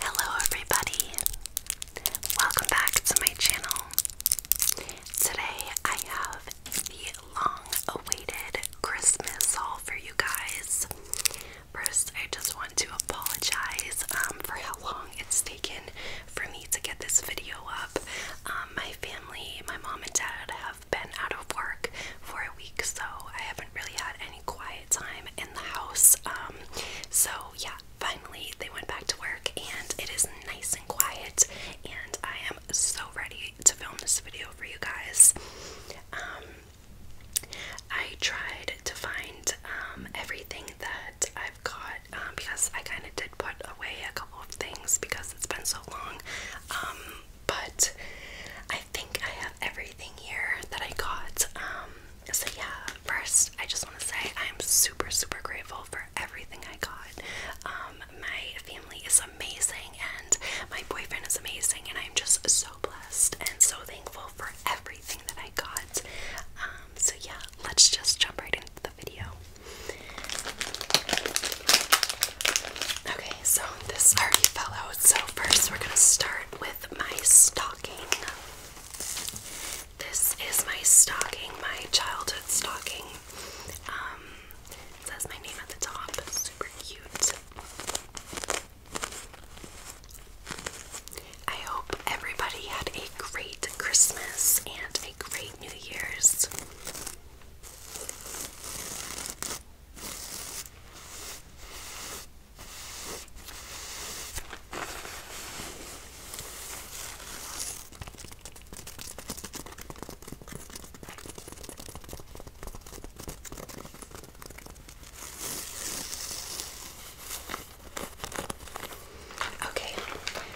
Hello, everybody! Welcome back to my channel. Today I have the long awaited Christmas haul for you guys. First, I just want to apologize um, for how long it's taken for me to get this video up. Um, my family, my mom and dad, have been out of work for a week, so I haven't really had any quiet time in the house. Um, so, yeah, finally they went back to work, and it is nice and quiet, and I am so ready to film this video for you guys. Um, I tried to find everything that I've got because I kind of put away a couple of things because it's been so long. Um, but I think I have everything here that I got. Um, so yeah, first I just want to say I'm super super grateful for everything I got. Um, my family is amazing and my boyfriend is amazing and I'm just so blessed and so thankful for everything that I got. Um, so yeah, let's just jump right into the video. Okay, so this already fell out. So first we're gonna start with my stocking. This is my stocking, my childhood stocking. Um, says my name at the top. Super cute. I hope everybody had a great Christmas and a great New Year's. Okay,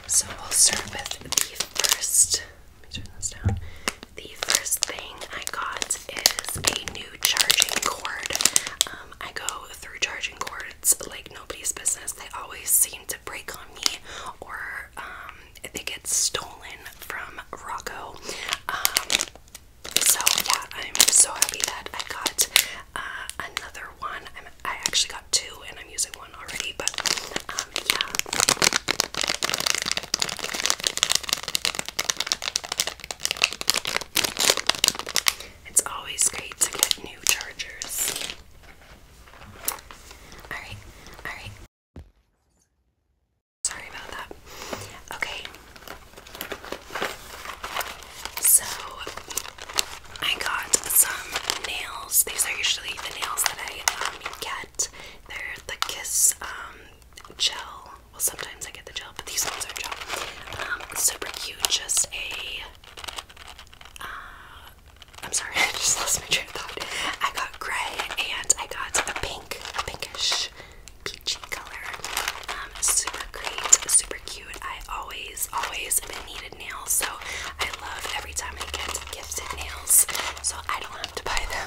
so we'll start with the first. Let me turn this down. The first thing I got is a new charging cord. Um, I go through charging cords like nobody's business. They always seem to break on me, or um, they get stolen from Rocco. Um, so yeah, I'm so happy that I got uh, another one i actually got two and I'm using one already, but um, yeah. It's always great to get new chargers. Alright, alright. Sorry about that. Okay. So, I got some nails. These are usually the nails that I um, get. They're the Kiss um, gel. Well, sometimes I get the gel, but these ones are gel. Um, super cute. Just a. am uh, sorry, I just lost my train of thought. I got gray and I got a pink, a pinkish, peachy color. super great, super cute. I always, always been needing nails, so I love every time I get gifted nails, so I don't have to buy them.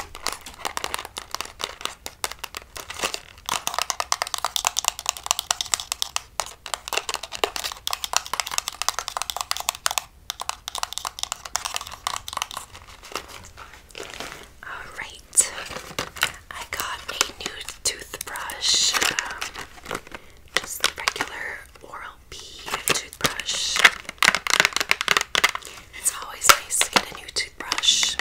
Alright, I got a new toothbrush, um, just regular Oral B toothbrush. It's always nice to get a new toothbrush.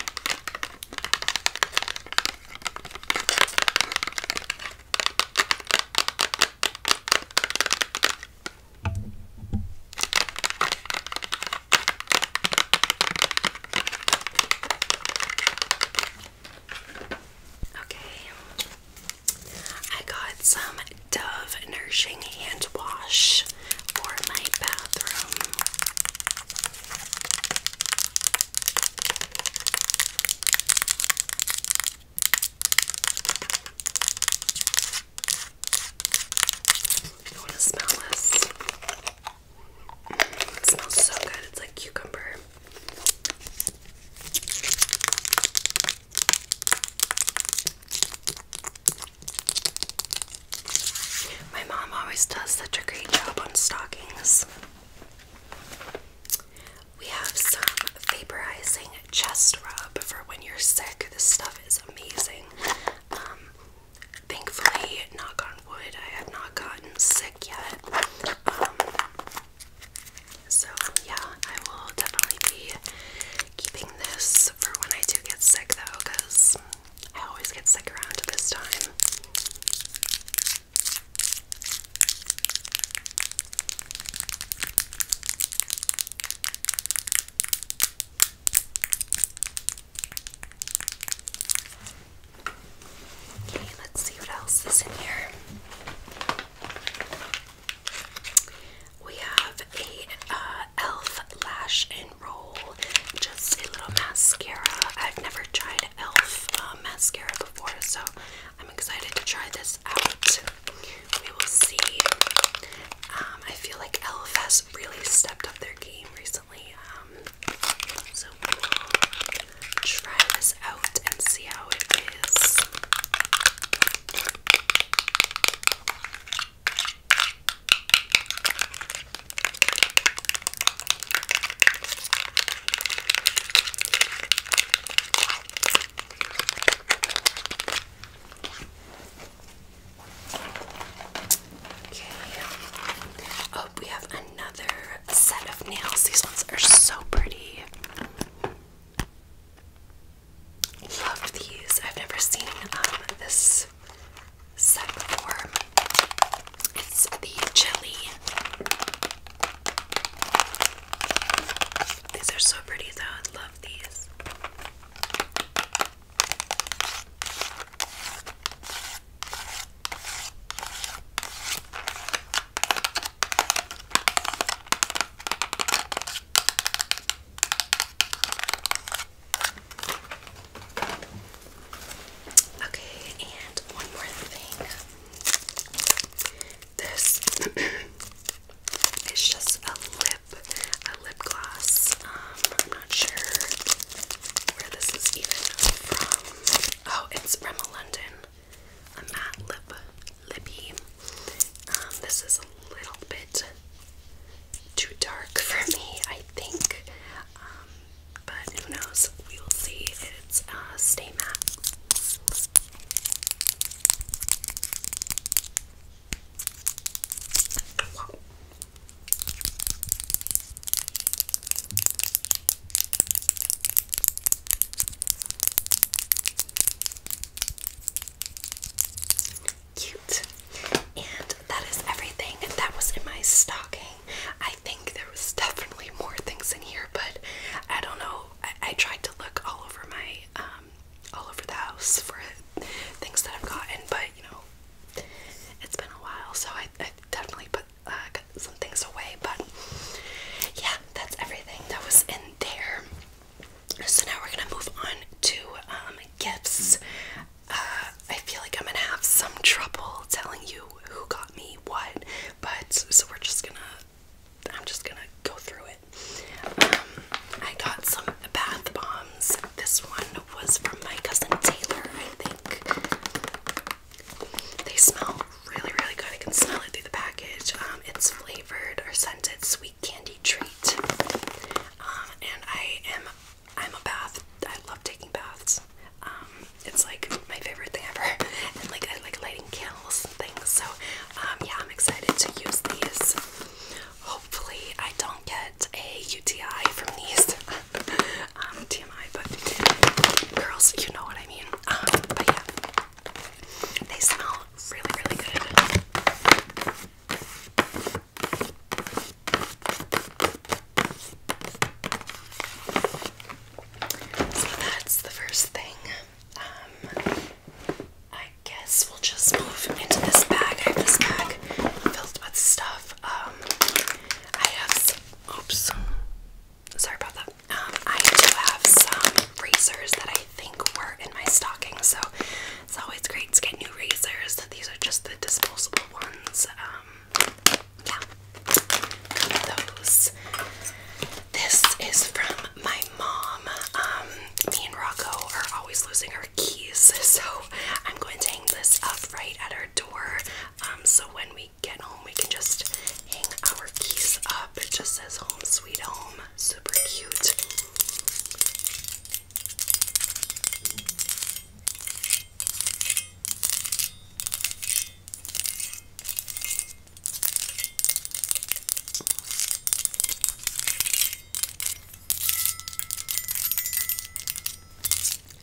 Okay. I got some Dove Nourishing Hand Wash for my bathroom. You want to smell this? Mm, it smells so good. It's like cucumber. My mom always does such a great job on stockings. We have some vaporizing chest rub for when you're sick. This stuff is amazing. Um, thankfully, knock on wood, I have not gotten sick yet. Um, so, yeah, I will definitely be keeping this for when I do get sick, though, because I always get sick around this time. Okay, let's see what else is in here. We have a uh, e.l.f. lash and roll, just a little mascara. I've never tried e.l.f. Uh, mascara before, so I'm excited to try this out. We will see. Um, I feel like e.l.f. has really stepped up their game recently. Um, so try this out and see how it is. Okay. Oh, we have another set of nails. These ones are so pretty. Love these. I've never seen um, this set before. It's the jelly. These are so pretty though. I love these. Okay, and one more thing. This is just a lip, a lip gloss. Um, I'm not sure where this is even from. Oh, it's from London a matte lip lippy. Um, this is a little bit too dark for me, I think. Um, but who knows? We will see. It's a uh, Stay Matte. Cute. And that is everything that was in my stocking. I think there was definitely more things in here, but I don't know. I, tried to look all over my, um, all over the house for things that I've gotten, but you know, it's been a while, so I definitely put put uh, some things away, but yeah, that's everything that was in there. So now we're gonna move on to um, gifts. Uh, I feel like I'm gonna have some trouble telling you who got me what, but so we're just gonna. I'm just gonna go through it. Um, I got some bath bombs. This one was from my cousin Taylor, I think. They smell really, really good. I can smell it through the package. Um, it's flavored or scented sweet candy treat. Um, and I am, I'm a bath. I love taking baths. Um, it's like my favorite thing ever. And like I like lighting candles and things. So yeah, I'm excited to use these. Hopefully, I don't get a UTI from these. TMI, but girls, you know what I mean. but yeah, they smell really, really good. So that's the first thing. Um, I guess we'll just move into this bag. I have this bag filled with stuff. Um, I have oops, sorry about that. Um, I do have some razors that I think were in my stocking, so it's always great to get new razors. These are just the disposable ones. Um, yeah, those. This is from my mom. Um, me and Rocco are always losing our keys, so I'm going to hang this up right at our door. Um, so when we get home, we can just hang our keys up. It just says home sweet home. Super cute.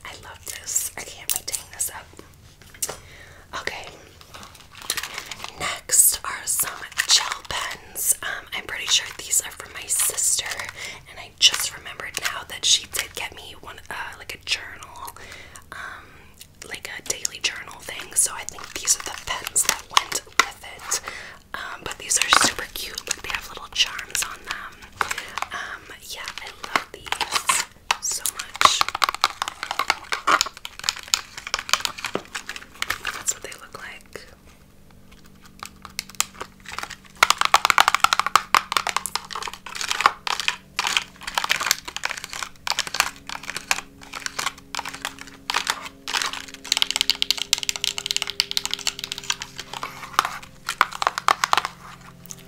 I love this. I can't wait to hang this up. Okay. Next are some gel pens. Um, I'm pretty sure these are from my sister, and I just remembered now that she did get me one, uh, like a journal, um, like a daily journal thing. So I think these are the pens that went with it. Um, but these are super cute. they have little charms on them. yeah, I love these so much. That's what they look like.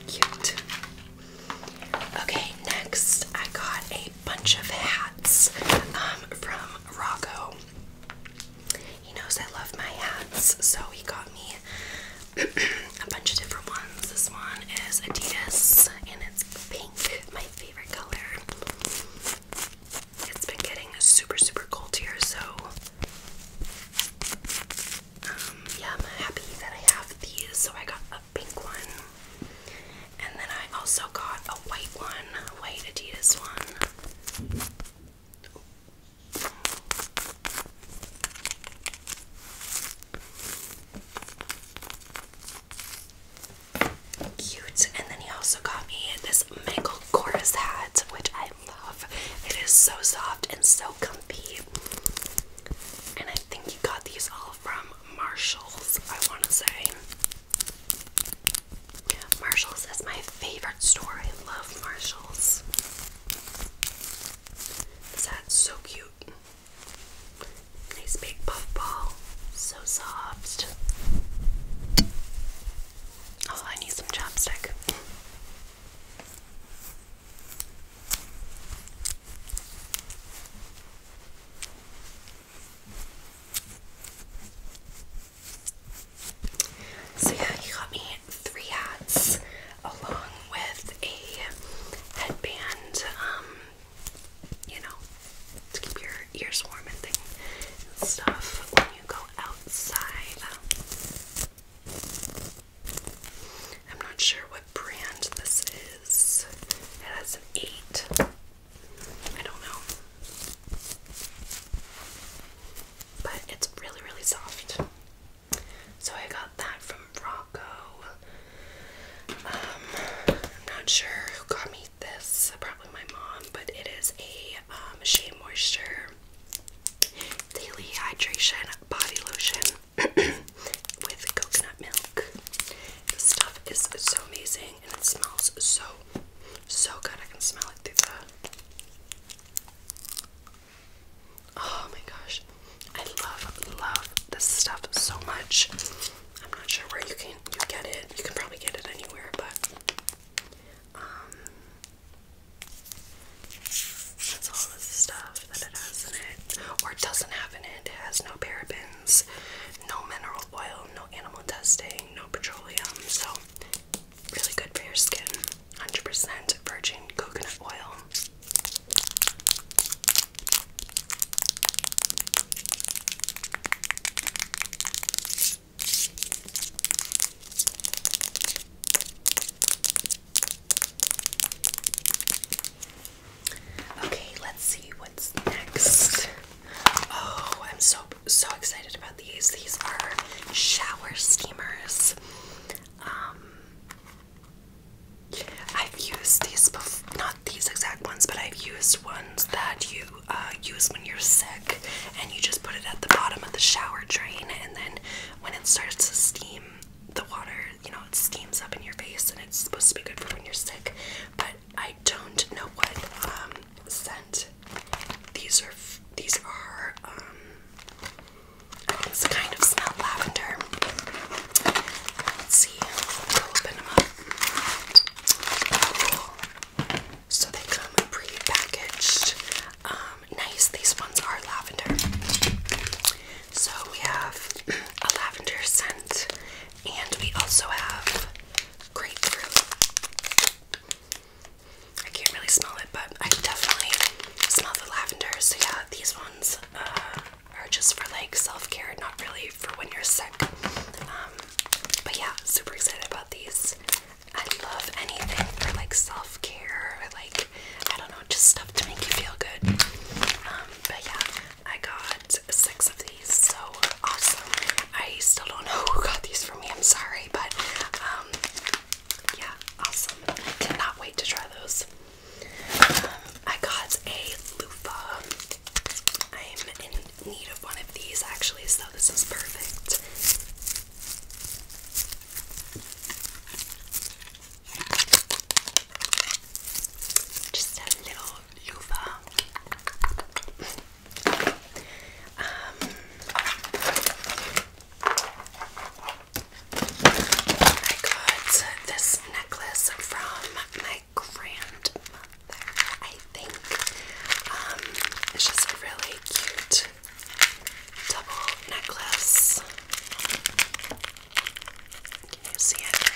Cute. Okay, next I got a bunch of hats um, from Rocco. He knows I love my hats, so he got me a bunch of different ones. This one is Adidas and it's pink, my favorite color. It's been getting super, super cold here, so um, yeah, I'm happy that I have these. So I got pink one. And then I also got a white one, a white Adidas one. Cute. And then he also got me this Michael Kors hat, which I love. It is so soft and so comfy. And I think he got these all from Marshalls, I want to say. Marshalls is my favorite store. I love Marshalls. This hat's so cute. Nice big puffball. So soft. Oh, I need some chopstick. So yeah, he got me three hats along with a headband, um, you know, to keep your ears warm and stuff when you go outside. I'm not sure what brand this is. It has an 8. I don't know. But it's really, really soft. So I got that from Rocco. Um, I'm not sure who got me this. Probably my mom, but it is a Shea uh, Moisture Daily Hydration Body Lotion. with coconut milk. This stuff is so amazing and it smells so, so good. I can smell it through Oh my gosh. I love, love this stuff so much. I'm not sure where you can get it. You can probably get it anywhere, but um, that's all this stuff that it has in it or doesn't have in it. It has no parabens, no mineral oil, no animal testing, no petroleum. So, really good for your skin. 100% virgin coconut oil. Okay, let's see what's next. Oh, I'm so so excited about these. These are shower steamers. Um I've used these before, not these exact ones, but I've used ones that you uh, use when you're sick and you just put it at the bottom of the shower drain and then when it starts to steam, the water, you know, it steams up in your face and it's supposed to be good for when you're sick. But I don't know what um, scent these are. These are. Um, it's kind of smell lavender. see. open them up. cool. So they come pre um, nice. These ones are lavender. So we have a lavender scent and we also have grapefruit. I can't really smell it, but I definitely smell the lavender. So yeah, these ones uh, are just for like self-care, not really for when you're sick. Um, but yeah, super excited about these. I love anything for like self-care like I don't know, just stuff to make you feel good. Um, but yeah, I got six of these, so awesome. I still don't know who got these for me, I'm sorry, but um, yeah, awesome. Cannot wait to try those. Um, I got a loofah. I'm in need of one of these actually, so this is perfect. Just a little loofah. Um, I got this necklace from my grandmother, I think. Um, it's just a really cute double necklace. Can you see it?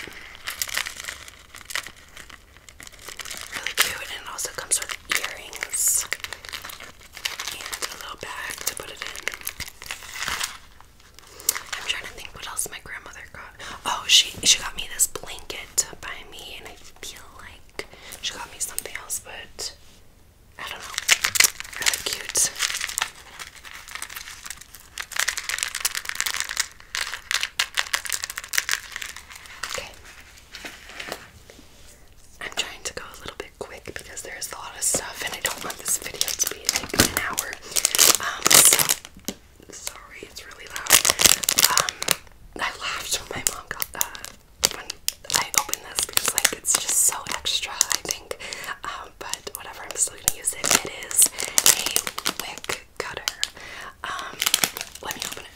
Really cute, and it also comes with earrings and a little bag to put it in. I'm trying to think what else my grandmother got. Oh, she she got me this blanket by me, and I feel like she got me something else, but I don't know. Really cute. Okay. I'm trying to go a little bit quick because there's a lot of stuff and I don't want this video to be like an hour. Um, so sorry, it's really loud. Um, I laughed when my mom uh, when I opened this because like it's just so extra, I think. Um, but whatever, I'm still gonna use it. It is a wick cutter. Um, let me open it.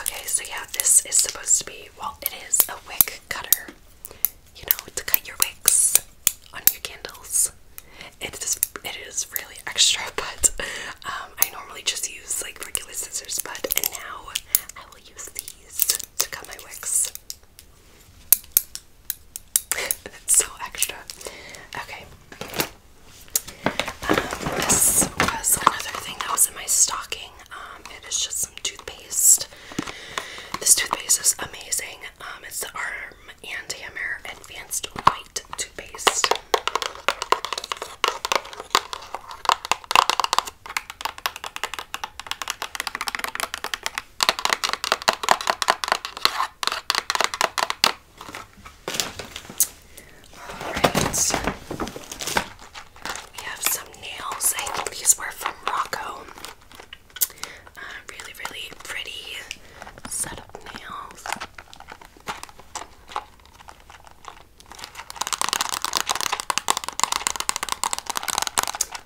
Okay, so yeah, this is supposed to be, well, it is a wick cutter. You know, to cut your wicks on your candles. It is it is really extra, but um, I normally just use like regular scissors, but and now I will use these to cut my wicks. it's so extra. Okay. Um, this was another thing that was in my stocking. Um, it is just some toothpaste. This toothpaste is amazing. Um, it's the Arm and Hammer Advanced White toothpaste. Alright, we have some nails. I think these were from Rocco. Uh, really, really pretty set of nails.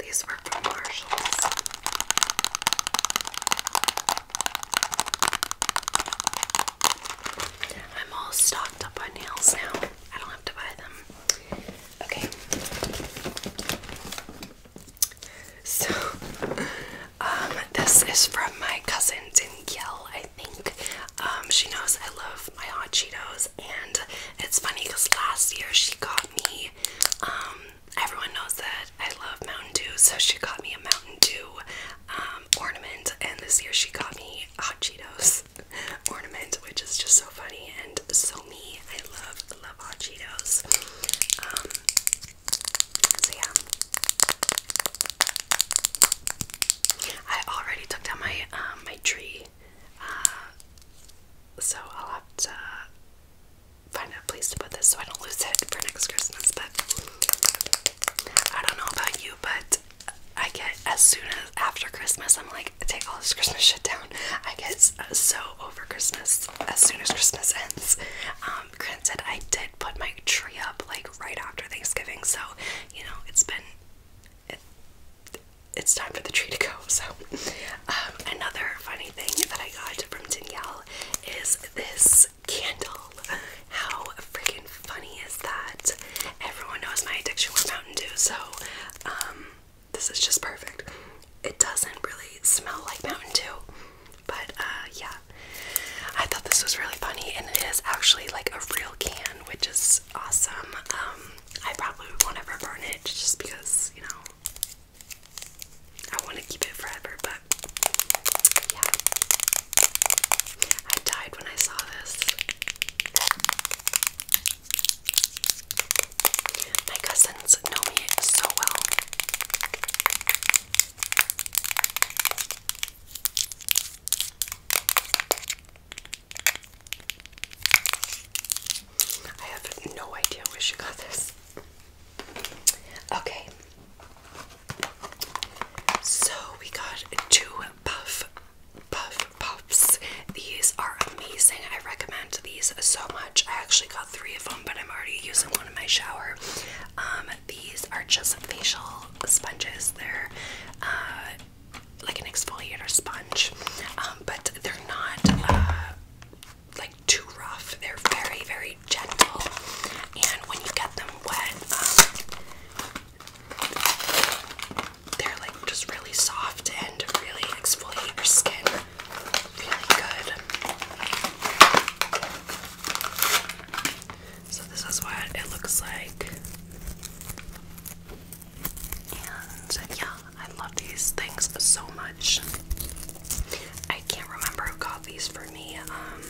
These were from Marshalls. I'm all stocked up on nails now. I don't have to buy them. Okay. So um, this is from my cousin in Yale, I think. Um, she knows I love my hot Cheetos, and it's funny because last year she got me. Um, everyone knows that I love Mountain Dew, so she got me a Mountain Dew ornament, and this year she got me hot Cheetos ornament, which is just so funny and so me. I love love hot Cheetos. so yeah. I already took down my um, my tree, uh, so I'll have to find a place to put this so I don't lose it for next Christmas. But I don't know about you, but I get as soon as after Christmas, I'm like, take all this Christmas shit down. I get so over Christmas as soon as Christmas ends. Um, granted, I did put my tree up like right after Thanksgiving, so you know it's been it's time for the tree to go. So um, another funny thing that I got from Danielle is this candle. How freaking funny is that? Everyone knows my addiction with Mountain Dew, so um, this is just perfect. It doesn't really smell like Mountain Dew, but uh, yeah, I thought this was really funny, and it is actually like a real can, which is awesome. Um, I probably won't ever burn it just because you know I want to keep it forever, but yeah, I died when I saw this. My cousins know me so well. I have no idea where she got this. Okay. So we got two puff puff puffs. These are amazing. I recommend these so much. I actually got three of them, but I'm already using one in my shower. Um, these are just facial sponges. They're uh, like an exfoliator sponge, um, but they're not uh, like too rough. They're very, very gentle, and when you get them wet, um, they're like just really soft and really exfoliate your skin really good. So this is what it looks like. And yeah, I love these things so much. I can't remember who got these for me. Um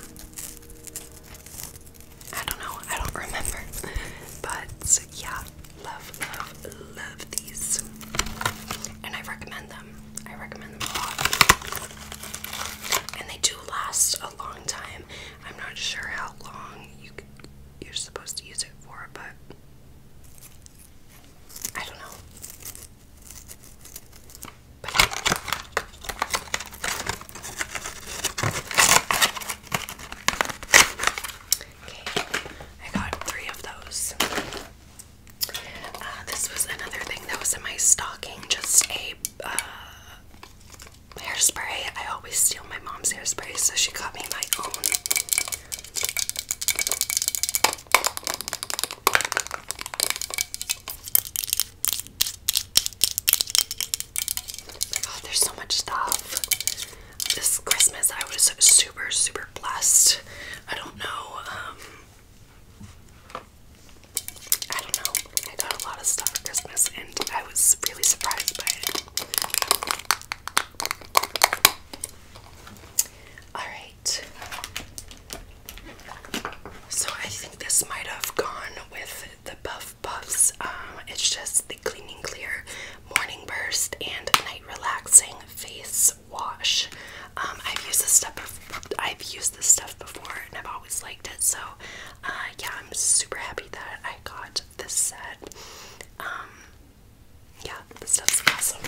I don't know, I don't remember. But yeah, love, love, love these. And I recommend them. I recommend them a lot. And they do last a long time. I'm not sure how long you you're supposed to use it for, but I don't know. But I got three of those. Uh, this was another thing that was in my stocking, just a uh, hairspray. I always steal my mom's hairspray, so she got me my own. Oh my god, there's so much stuff. This Christmas I was super, super blessed. I don't know, um, I don't know. I got a lot of stuff for Christmas and I was really surprised by it. Alright. So I think this might have gone with the Buff Puffs. Um, it's just the Cleaning Clear Morning Burst and Night Relaxing Face Wash. Um, I've used this stuff before. I've used this stuff before and I've always liked it. So uh, yeah, I'm super happy that I got this set. Um, yeah, this stuff's awesome.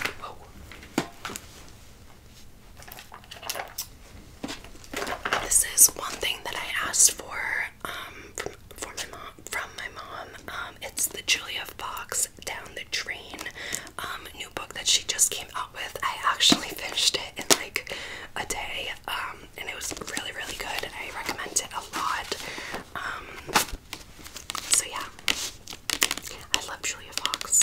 This is one thing that I asked for um, from, my mom, um, it's the Julia Fox Down the Drain new book that she just came out with. I actually finished it in like a day, um, and it was really, really good. I recommend it a lot. Um, so yeah, I love Julia Fox.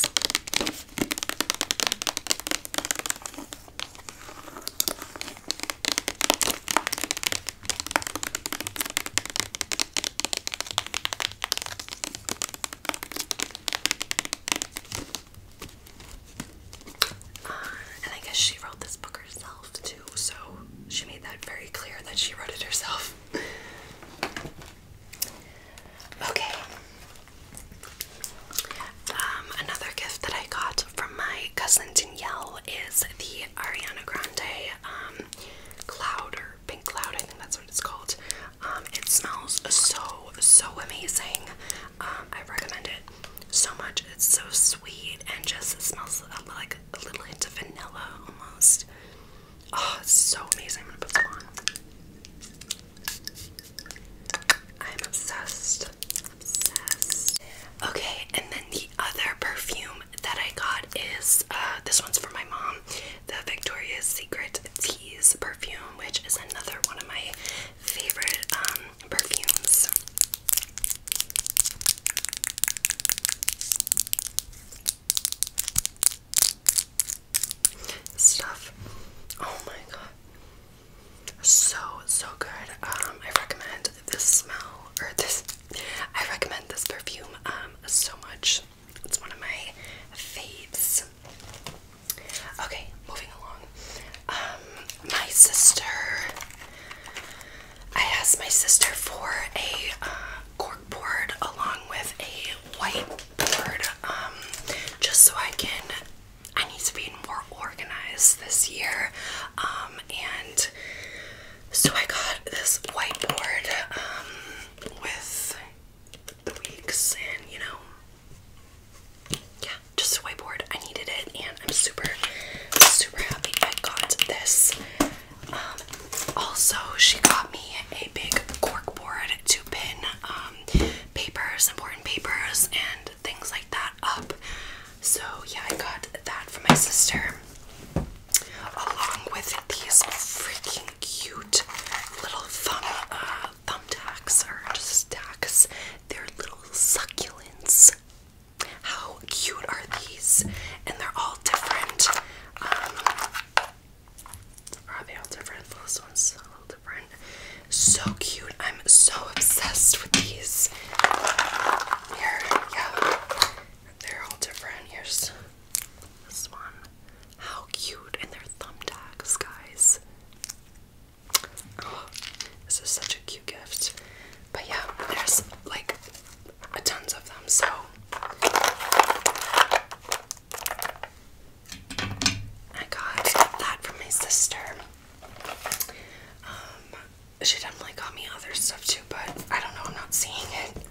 Uh, and I guess she wrote this book herself too, so she made that very clear that she wrote it herself. okay. Um, another gift that I got from my cousin Danielle is the Ariana Grande um, Cloud or Pink Cloud, I think that's what it's called. Um, it smells so, so amazing. Um, I recommend it so much. It's so sweet and just smells like a little hint of vanilla almost. Oh, it's so amazing. I'm gonna put some on. I'm obsessed. Okay, and then the other perfume that I got is uh, this one's for my mom, the Victoria's Secret Tease perfume, which is another one of my favorite um, perfumes. Stuff. Oh my god. So, so good. Um, I recommend this smell, or this, I recommend this perfume um, so much. It's one of my faves. Okay, moving along. Um, my sister. I asked my sister for a uh, cork board along with a white board, um, just so I can. I need to be more organized this year, um, and so I got this whiteboard um, with the weeks and you know yeah just a whiteboard I needed it and I'm super super happy I got this um, also she got me a big cork board to pin um, papers important papers and things like that up so yeah I got that from my sister along with these freaking cute little thumb uh, of thumbtacks are just tacks. They're little succulents. How cute are these? And they're all different. are um, they all different? This one's a little different. So cute. I'm so obsessed with these. Here, yeah. They're all different. Here's this one. How cute. And they're thumbtacks, guys. this is such a cute gift. But yeah, there's like a tons of them, so I got that from my sister. Um, she definitely got me other stuff too, but I don't know, I'm not seeing it.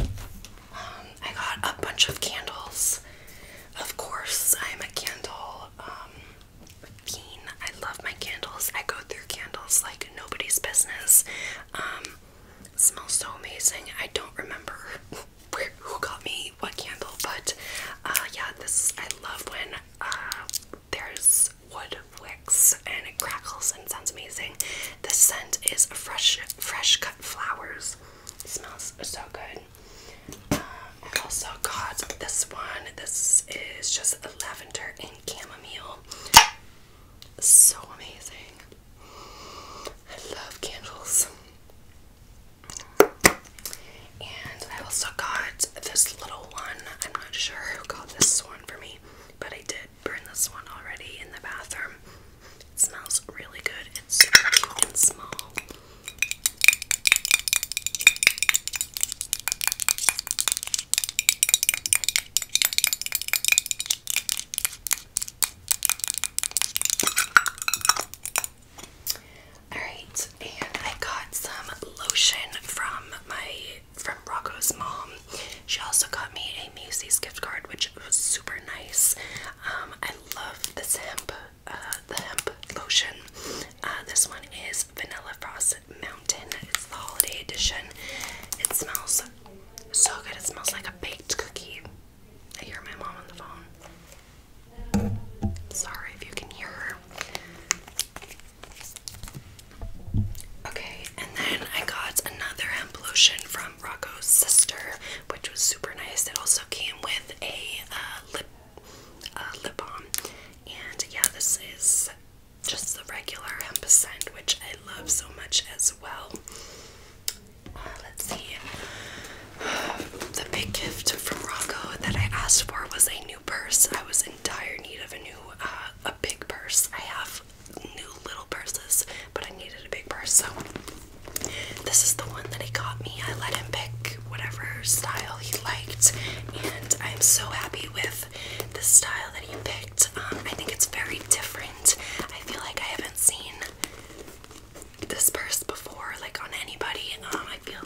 Um, I got a bunch of candles. Of course, I'm a candle um, I love my candles. I go through candles like nobody's business. Um, smells so amazing. I don't remember where, who got me what candle, but uh, yeah, this I love when uh, there's wood wicks and it crackles and sounds amazing. The scent is fresh, fresh cut flowers. smells so good. I um, also got this one. This is just lavender and chamomile. So amazing. I love candles. And I also got this little one. I'm not sure who got this one for me, but I did burn this one already in the bathroom. It smells really good. It's super cute and small. Alright, and I got some lotion from my from Rocco's mom. She also got me a Macy's gift card, which was super nice. Um, I love this hemp uh, the hemp lotion. Uh, this one is Vanilla Frost Mountain. It's the holiday edition. It smells so good. It smells like a baked cookie. I hear my mom on the phone. Sorry if you can hear her. Okay, and then I got another hemp lotion from Rocco's sister, which was super nice. It also came with a uh, lip uh, lip balm, and yeah, this is just the regular hemp scent, which I love so much as well. Uh, let's see. The big gift from Rocco that I asked for was a new purse. I was in dire need of a new, a big purse. I have new little purses, but I needed a big purse, so this is the one that he got me. I let him pick whatever style he liked, and I'm so happy with the style that he picked. Um, I think it's very different. I feel like I haven't seen this purse before, like on anybody. Um, I feel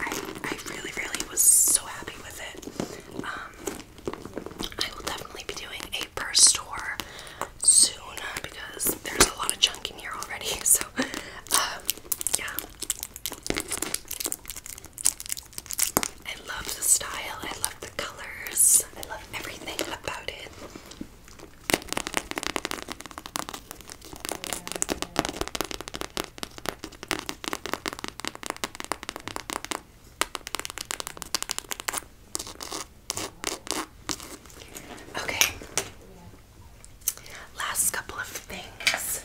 I I really really was so happy with it. Um, I will definitely be doing a purse tour soon because there's a lot of junk in here already. So, um, yeah. I love the style, I love the colors, I love everything about it. Okay. Last couple of things.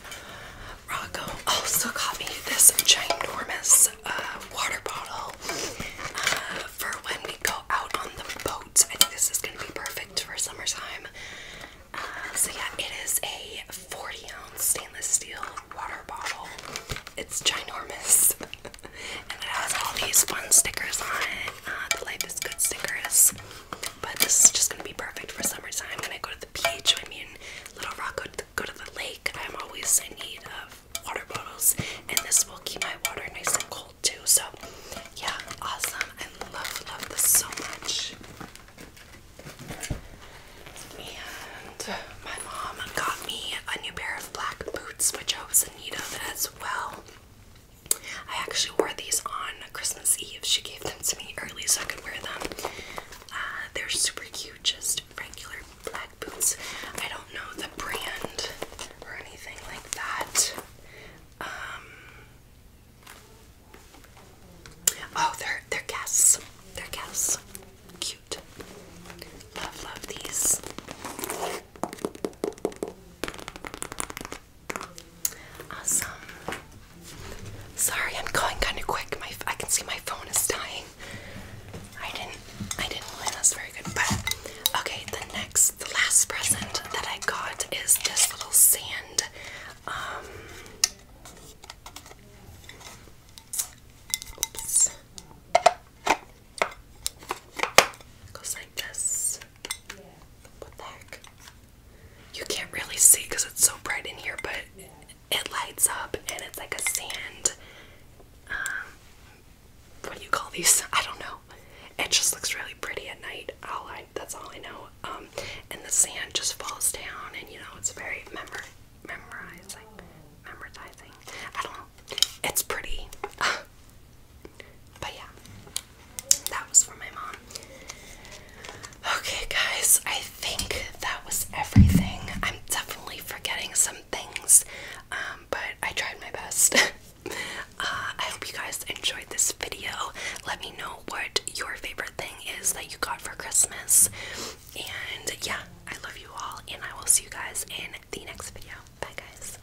Rocco also got me this ginormous uh, water bottle uh, for when we go out on the boat. I think this is going to be perfect for summertime. Uh, so, yeah, it is a 40 ounce stainless steel water bottle. It's ginormous. and it has all these fun stickers on it. Ah, the Life is Good stickers. But this is just gonna be perfect for summertime when I go to the beach. I mean, Little Rock, go to the lake. I'm always in need of water bottles, and this will keep my water nice and cold too. So, yeah, awesome. I love, love this so much. And my mom got me a new pair of black boots, which I was in need of as well. I actually wore these on Christmas Eve. She gave them to me early so I could wear them. Uh, they're super cute, just regular black boots. I don't know the brand or anything like that. Um, oh, they're they're Guess. They're Guess. Cute. Love, love these. Awesome. Sorry, I'm going kind of quick. My I can see my phone is dying. I didn't I didn't plan this very good, but okay. The next, the last present that I got is this little sand. Um, oops. goes like this. What You can't really see because it's so bright in here, but it lights up and it's like a sand. Um, what do you call these? I don't know. It just looks really pretty at night. that's all I know. Um, and the sand just falls down, and you know it's very memor memorizing, oh. memorizing. I don't know. It's pretty. But yeah, that was for my mom. Okay, guys, I think that was everything. I'm definitely forgetting some things, um, but I tried my best. Uh, I hope you guys enjoyed this video. Let me know what your favorite thing is that you got for Christmas. And yeah, I love you all, and I will see you guys in the next video. Bye, guys.